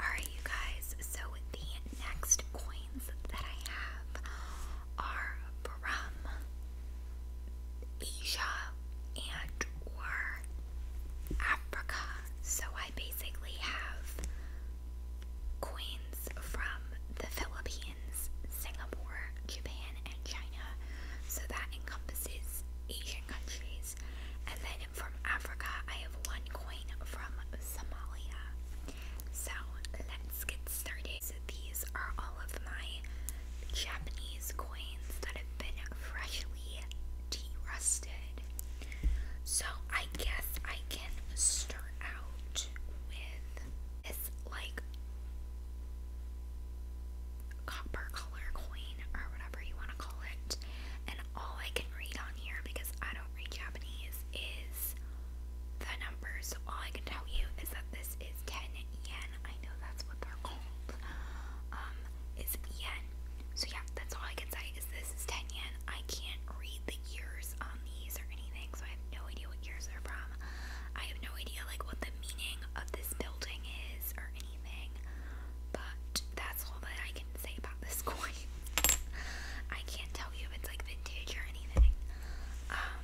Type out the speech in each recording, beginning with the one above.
Alright, you guys, so the next coins that I have are from Asia and or Africa. So I basically have coins from the Philippines, Singapore, Japan, and China. So that encompasses Asian countries. And then coin from Africa. I have one coin from Somalia. So let's get started. So these are all of my Japanese coins that have been freshly de-rusted. So I guess I can start out with this like copper color coin or whatever you want to call it all I can read on here because I don't read Japanese is the numbers. So all I can tell you is that this is 10 yen. I know that's what they're called. Um, is yen. So yeah, that's all I can say is this is 10 yen. I can't read the years on these or anything, so I have no idea what years they're from. I have no idea like what the meaning of this building is or but that's all that I can say about this coin. I can't tell you if it's like vintage or anything. Um,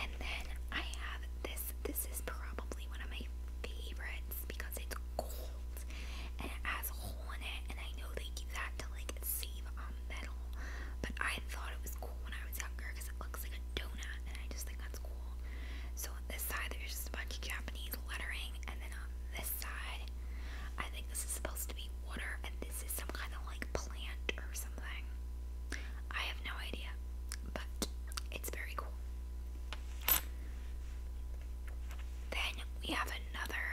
and then I have this. This is probably one of my favorites because it's gold and it has a hole in it. And I know they do that to like save on metal, but I thought it was cool when I was younger because it looks like a donut, and I just think that's cool. So this side there's just a bunch of Japanese lettering, and then on this side, I think this is supposed to be water, and this is some kind of like plant or something. I have no idea, but it's very cool. Then we have another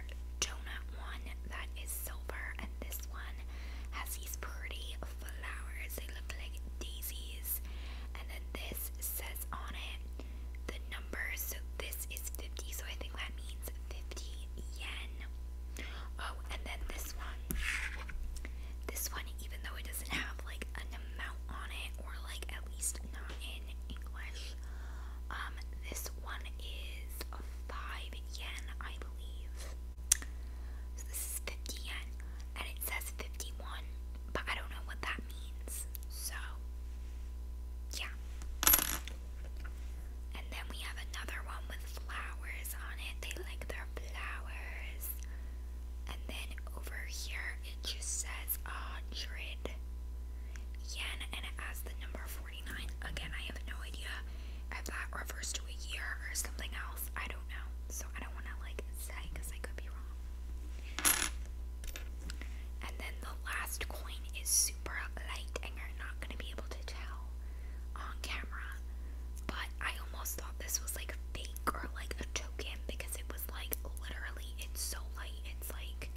donut one that is silver, and this one has these pretty flowers. They look like daisies, and then this says on it the number. So this is 50, so I think that means 50 yen. Oh, and then this one. This one, even though it doesn't have like an amount on it, or like at least not in English, um, this one is 5 yen, I believe. So this is 50 yen and it says 51, but I don't know what that means. So, yeah. And then we have another one with flowers on it. They like their flowers. And then over here it just says 100 yen and it has the number 49. Again, I have no idea if that refers to a year or something else. I don't know. So I don't want to like say because I could be wrong. And then the last coin is super light, and you're not going to be able to tell on camera. But I almost thought this was like fake or like a token because it was like literally, it's so light. It's like,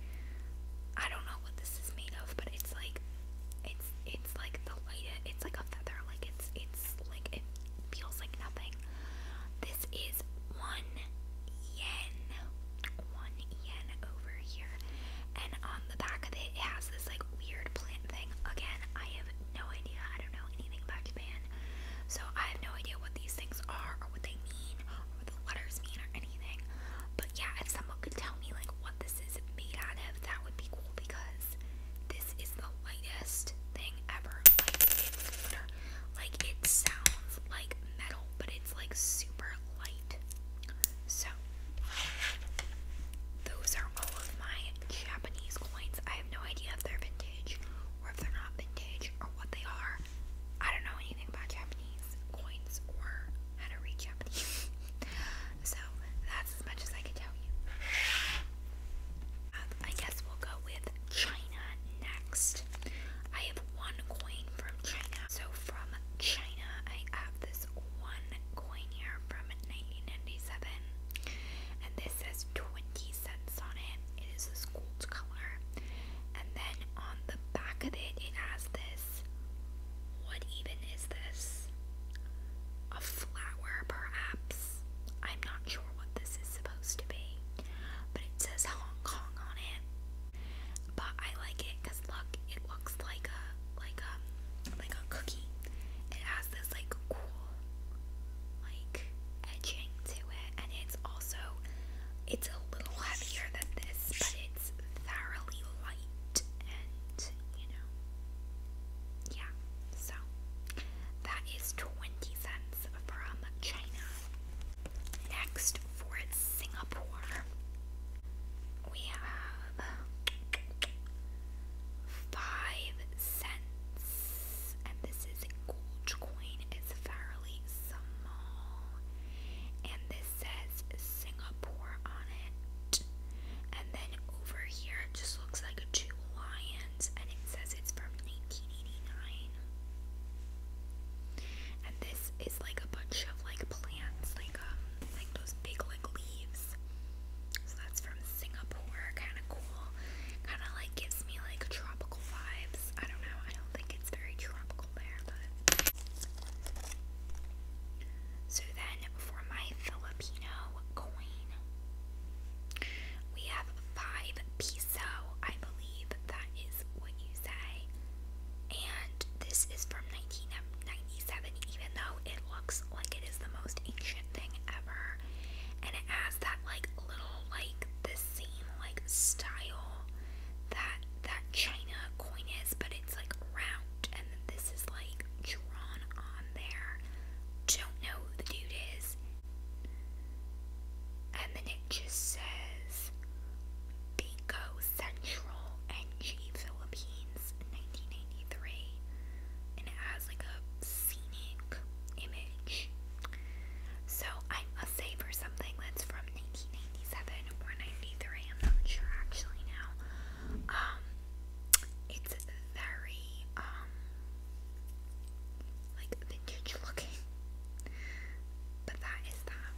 I don't know what this is made of, but it's like, it's, it's like the light, it's like a feather, like it's, it's like it feels like nothing. This is one yen, one yen over here, and on the back of it, it has this like weird plant thing. Again, I have no idea, I don't know anything about Japan, so I have no idea what these things are or what they mean or what the letters mean or anything. But yeah, if someone could tell me like what this is made out of, that would be cool because this is the lightest thing ever. Like it sounds like metal, but it's like super light. So those are all of my Japanese coins. I have no idea if they're vintage or if they're not vintage or what they are. I don't know anything about Japanese coins or how to read Japanese. so that's as much as I can tell you. Um, I guess we'll go with China next. I have one coin from China. So from China, I have this one coin here from 1997. And this says 20 cents on it. It is a gold color. And then on the back of it, it has this. What even is this? A flower, perhaps? I'm not sure what this is supposed to be, but it says Hong Kong on it. But I like it because look, it looks like a like a um, like a cookie. It has this like cool like edging to it, and it's also it's a little heavier than this, but it's thoroughly light and you know yeah, so that is 20 cents from China. Next for Singapore, we have 5 cents, and this is gold coin, it's fairly small, and this says Singapore on it. And then over here, it just looks like two lions, and it says it's from 1989. And this is like a bunch of like plants, like um, like those big like leaves. So that's from Singapore, kind of cool. Kind of like gives me like tropical vibes. I don't know. I don't think it's very tropical there, but. So then for my Filipino coin, we have five piso, I believe that is what you say. And this is from 1997, even though it looks like it is the most ancient thing ever. And it has that like little like the same like style that that China coin is, but it's like round left, and then this is like drawn on there. Don't know who the dude is. And then it just says Bingo Central NG Philippines 1993. And it has like a scenic image. So I must say for something that's from 1997 or 93, I'm not sure actually now. Um, it's very um like vintage looking. But that is that.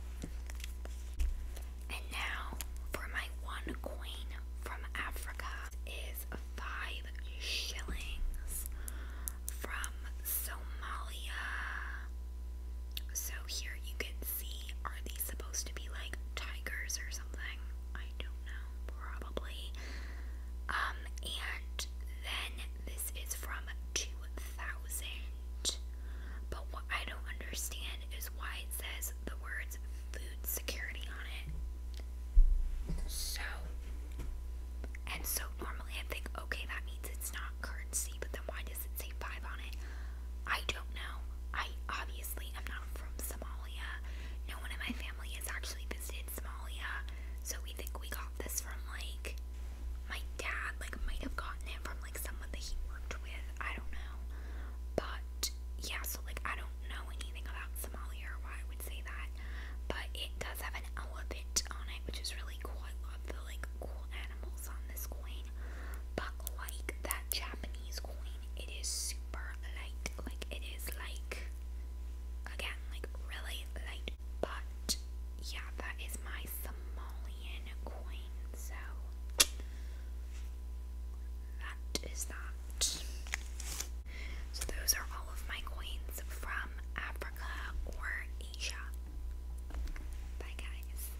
And now for my one coin from Africa is five shillings from Somalia. So here you can see. Are these supposed to be like tigers or something? I don't know, probably. Um, and then this is from 2000. But what I don't understand is why it says the words food security on it. So, and so normally I think, okay, that means it's not currency, but then why does it say 5 on it? I don't know. I obviously am not from Somalia. No one in my family has actually visited Somalia. So we think we got this from like my dad like might have gotten it from like someone that he worked with. I don't know. But yeah, so like I don't know anything about Somalia or why I would say that. But it does have an elephant on it, which is really cool. I love the like cool animals on this coin but like that Japanese coin, it is super light. Like it is like again, like really light. But yeah, that is my Somalian coin. So that is that. So those are all of my coins from Africa or Asia. Bye guys.